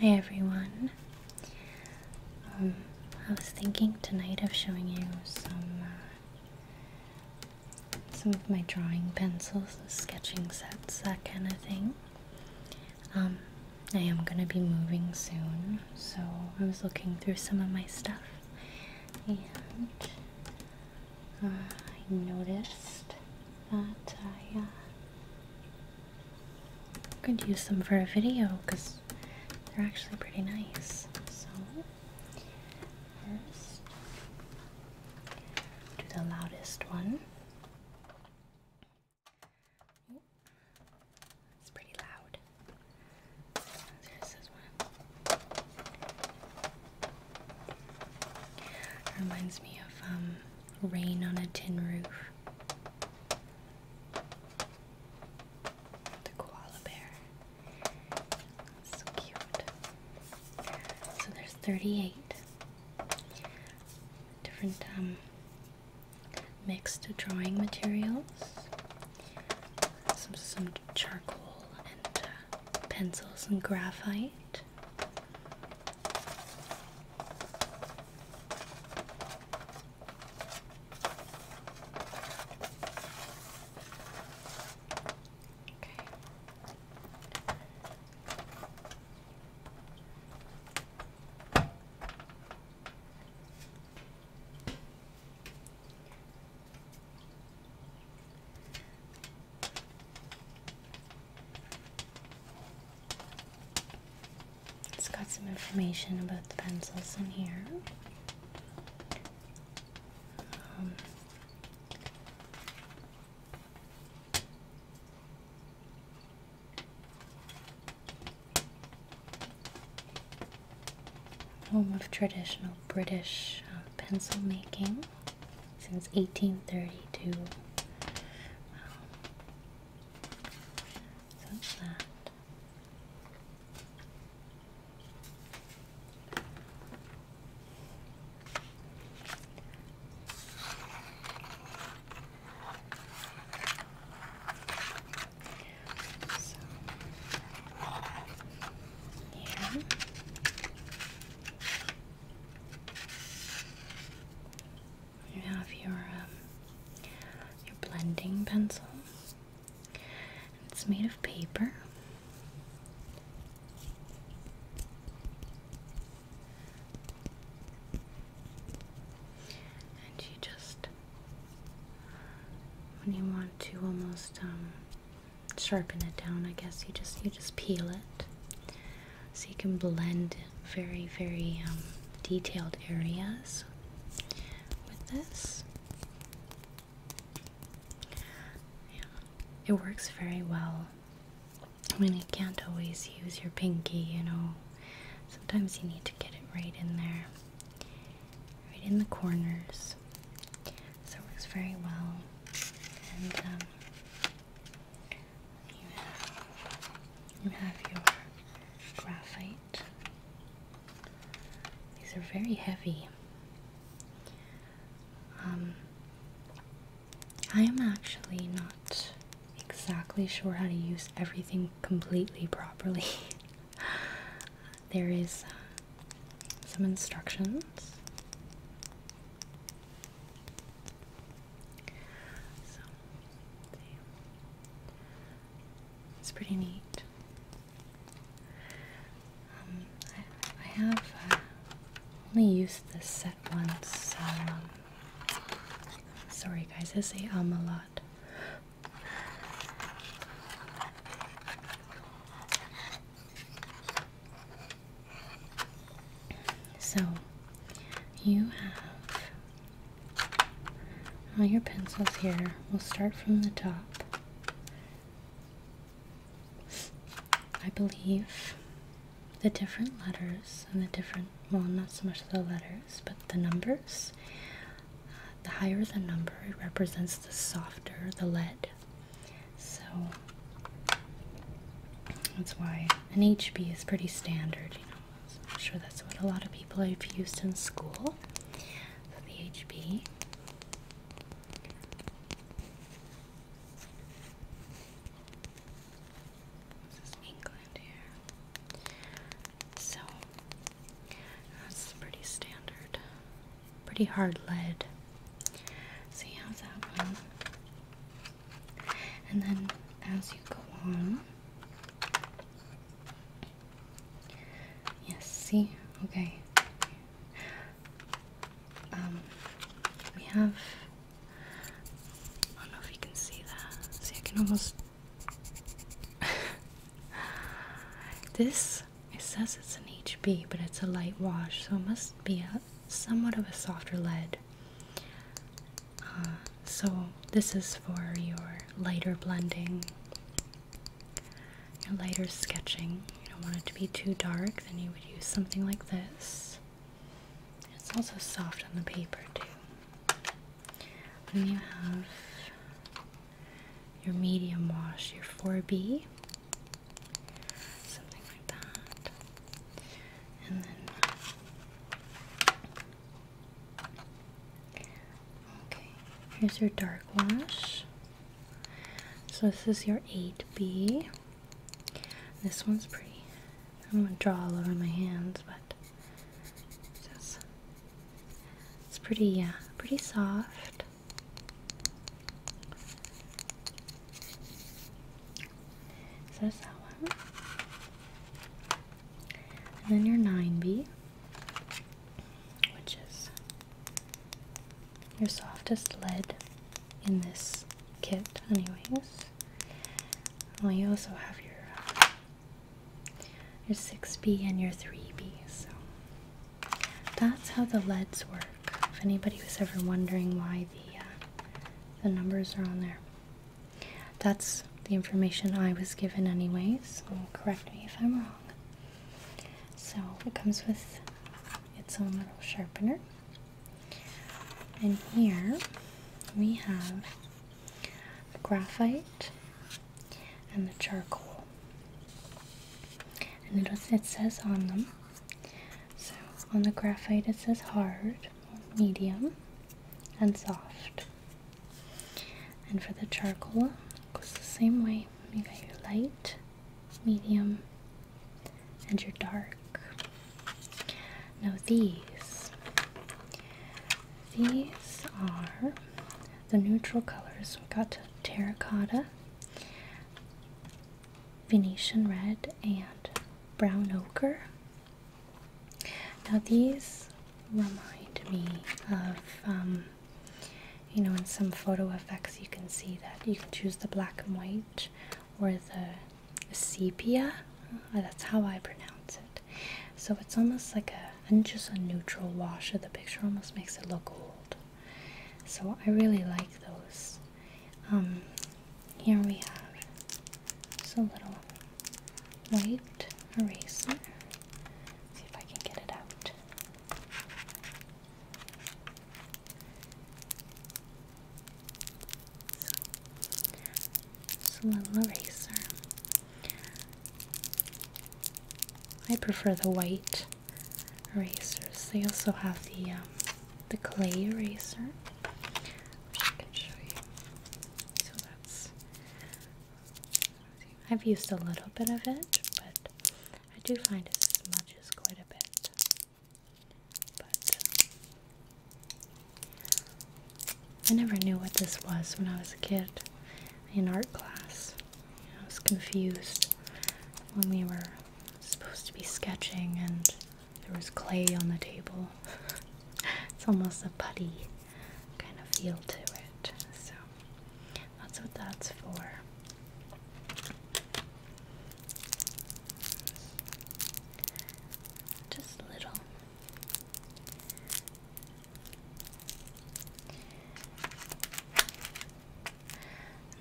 Hi everyone. Um, I was thinking tonight of showing you some uh, some of my drawing pencils, sketching sets, that kind of thing. Um, I am going to be moving soon, so I was looking through some of my stuff and uh, I noticed that I uh, could use them for a video because they're actually pretty nice. So, first, do the loudest one it's pretty loud. reminds me of um, rain on a tin roof. The koala bear. so cute. So there's 38 different um, mixed drawing materials, some, charcoal and uh, pencils and graphite. Okay. It's got some information about the pencils in here. Um, Home of traditional British uh, pencil making since 1832. Wow. Um, that yeah. You have your um, your blending pencil. It's made of paper. And you just, when you want to almost um, sharpen it down, I guess you just you just peel it, so you can blend very very um, detailed areas with this. Yeah, it works very well I mean, you can't always use your pinky, you know. Sometimes you need to get it right in there, right in the corners. So it works very well. And um, you have, you have your graphite. These are very heavy. Um, I am actually not exactly sure how to use everything completely properly. there is uh, some instructions. So, it's pretty neat. Um, I, have uh, only used this set once, so um, Sorry guys, I say um a lot. So you have all your pencils here. We'll start from the top. I believe the different letters and the different, well, not so much the letters, but the numbers. the higher the number, it represents the softer the lead. So that's why an HB is pretty standard, you know. I'm sure that's what a lot of people have used in school. the HB. This is England here. So that's pretty standard. Pretty hard lead. See you that one. And then as you go on. Yes, see? Okay. Um, we have I don't know if you can see that. See, I can almost. this, it says it's an HB, but it's a light wash, so it must be a, somewhat of a softer lead. Uh, so, this is for your lighter blending, your lighter sketching. You don't want it to be too dark, then you would use something like this. It's also soft on the paper too. Then you have your medium wash, your 4B, something like that. And then, okay, here's your dark wash. So this is your 8B. This one's pretty. I'm gonna draw all over my hands, but it's, pretty, Yeah, uh, pretty soft. So that's that one. And then your 9B, which is your softest lead in this kit anyways. Well, you also have your your 6B and your 3B, so that's how the leads work. If anybody was ever wondering why the uh, the numbers are on there, that's the information I was given anyways. So correct me if I'm wrong. So it comes with its own little sharpener. And here we have the graphite and the charcoal. And it, says on them. So on the graphite it says hard, medium, and soft. And for the charcoal, it goes the same way. You got your light medium, and your dark. Now these, these are the neutral colors. We've got terracotta, Venetian red, and brown ochre. Now these remind me of um, you know in some photo effects you can see that you can choose the black and white or the sepia uh, that's how i pronounce it so it's almost like a and just a neutral wash of the picture almost makes it look old so i really like those um, here we have just a little white eraser see if i can get it out a little eraser. I prefer the white erasers. They also have the um, the clay eraser, which I can show you. So that's I've used a little bit of it, but I do find it smudges quite a bit, but uh, I never knew what this was when I was a kid in art class. I was confused when we were supposed to be sketching and there was clay on the table. it's almost a putty kind of feel to it. So that's what that's for. Just little.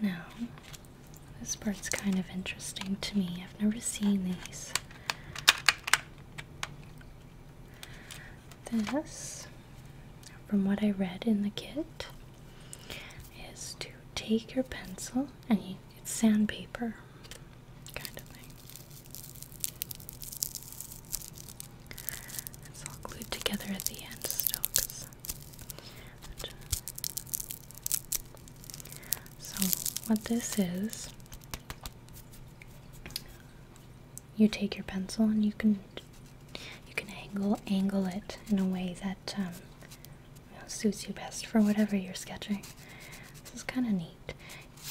Now, this part's kind of interesting to me. I've never seen these. This, from what I read in the kit, is to take your pencil and you, it's sandpaper kind of thing. It's all glued together at the end still. so what this is, you take your pencil and you can you can angle angle it in a way that um, suits you best for whatever you're sketching. This is kind of neat.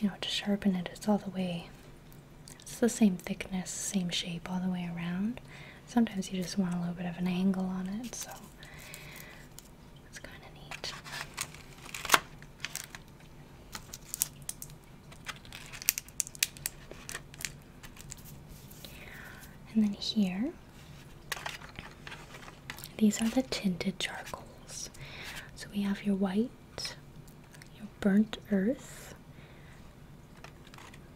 You know, to sharpen it, it's all the way. It's the same thickness, same shape all the way around. Sometimes you just want a little bit of an angle on it, so it's kind of neat. And then here, these are the tinted charcoals. So we have your white, your burnt earth.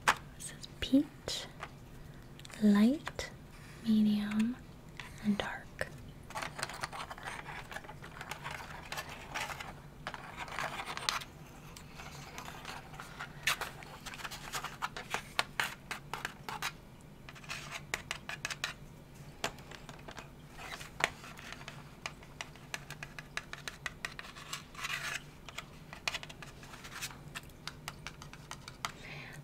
This is peat, light, medium, and dark.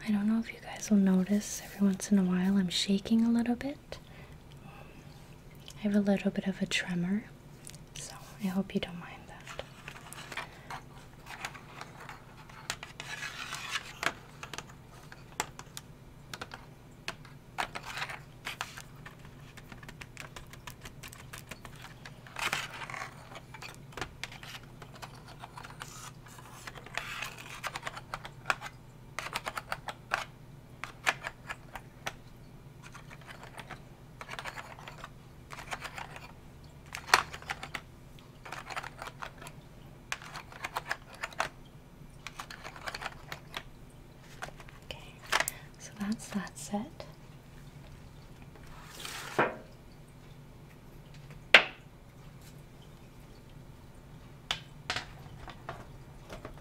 I don't know if you guys will notice every once in a while I'm shaking a little bit. I have a little bit of a tremor. So I hope you don't mind that. Okay, so that's that set.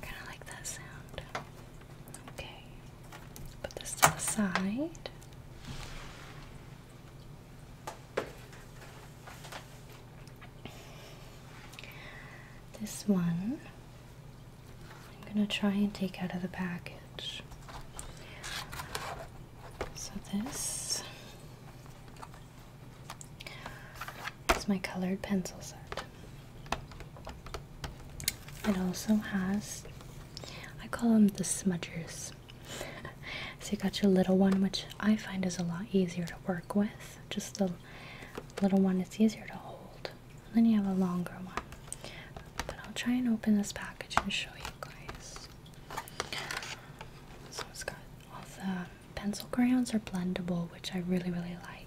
Kind of like that sound. Okay, put this to the side. This one I'm going to try and take out of the package. So, this is my colored pencil set. It also has, I call them the smudgers. so you got your little one, which I find is a lot easier to work with. Just the little one, it's easier to hold. then you have a longer one. But I'll try and open this package and show you guys. So it's got all the pencil crayons are blendable, which I really, really like.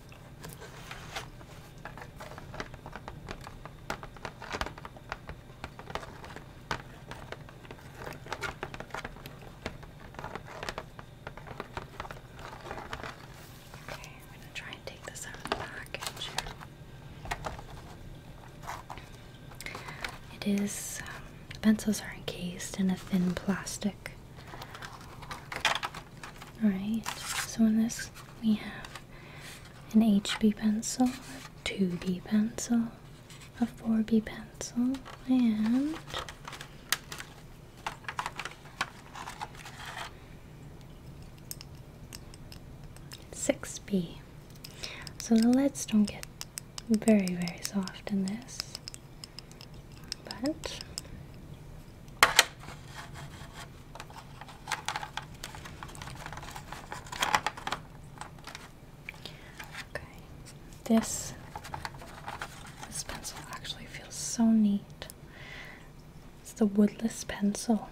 Okay, I'm going to try and take this out of the package It is, um, the pencils are encased in a thin plastic. Alright, so in this we have an HB pencil, 2B pencil, a 4B pencil, and six B. So the leads don't get very very soft in this but okay this this pencil actually feels so neat it's the woodless pencil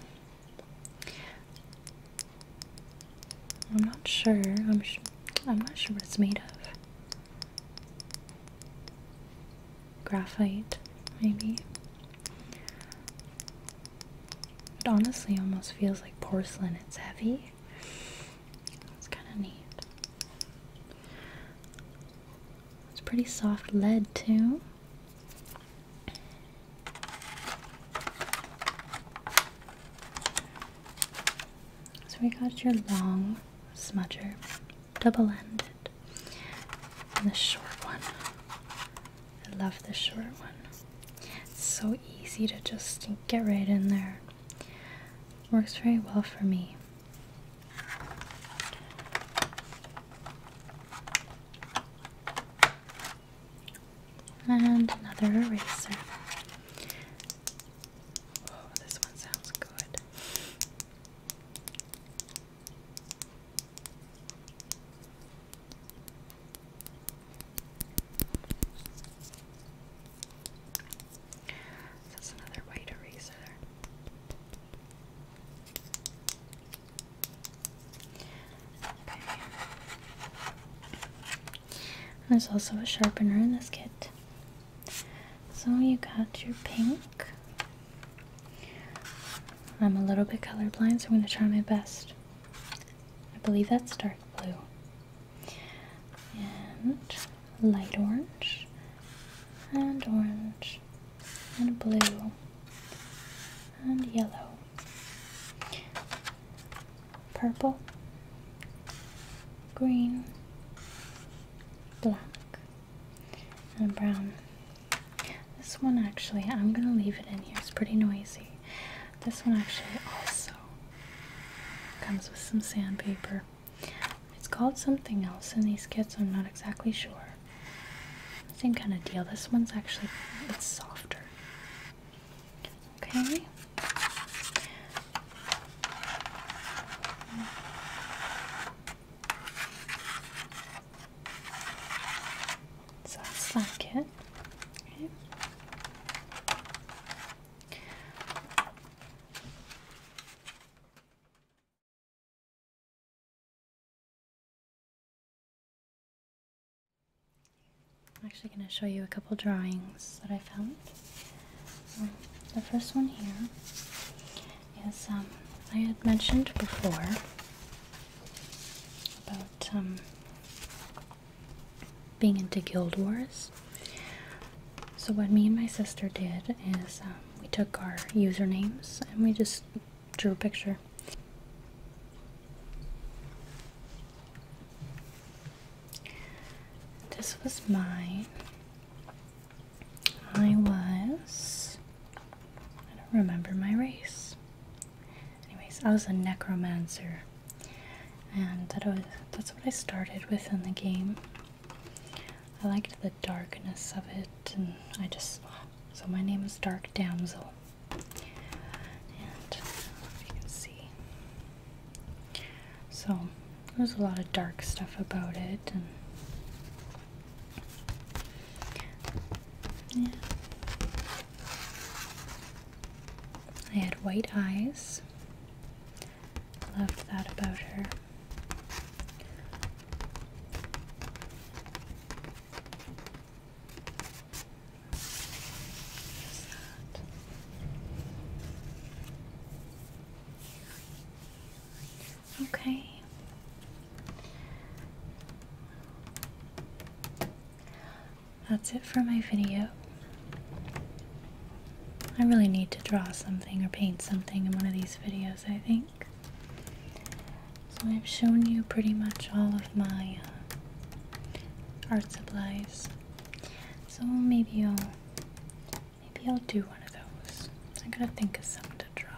I'm not sure I'm I'm not sure what it's made of graphite, maybe. It honestly almost feels like porcelain. It's heavy. It's kind of neat. It's pretty soft lead, too. So we got your long smudger, double-ended, and the short one. I love the short one. It's so easy to just get right in there. Works very well for me. And another eraser. Oh, this one sounds good. That's another white eraser. There's also a sharpener in this kit. So you got your pink. I'm a little bit colorblind, so I'm going to try my best. I believe that's dark blue. And light orange, and orange, and blue, and yellow, purple, green, black, and brown. This one actually, I'm gonna leave it in here, it's pretty noisy. This one actually also comes with some sandpaper. It's called something else in these kits, I'm not exactly sure. Same kind of deal. This one's actually, it's softer. Okay. So that's like it. Okay. I'm actually going to show you a couple drawings that I found. So the first one here is um, I had mentioned before about um, being into Guild Wars. So what me and my sister did is um, we took our usernames and we just drew a picture. This was mine. I was. I don't remember my race. Anyways, I was a necromancer. And that was, that's what I started with in the game. I liked the darkness of it, and I just. So my name is Dark Damsel. And if you can see. So there's a lot of dark stuff about it, yeah. I had white eyes. Loved that about her. Okay. That's it for my video. I really need to draw something or paint something in one of these videos, I think. So I've shown you pretty much all of my uh, art supplies. So maybe I'll maybe I'll do one of those. I gotta think of something to draw.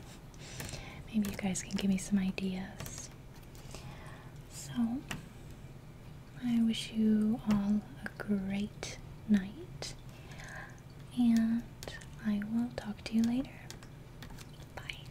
Maybe you guys can give me some ideas. So I wish you all a great night and I will talk to you later. Bye.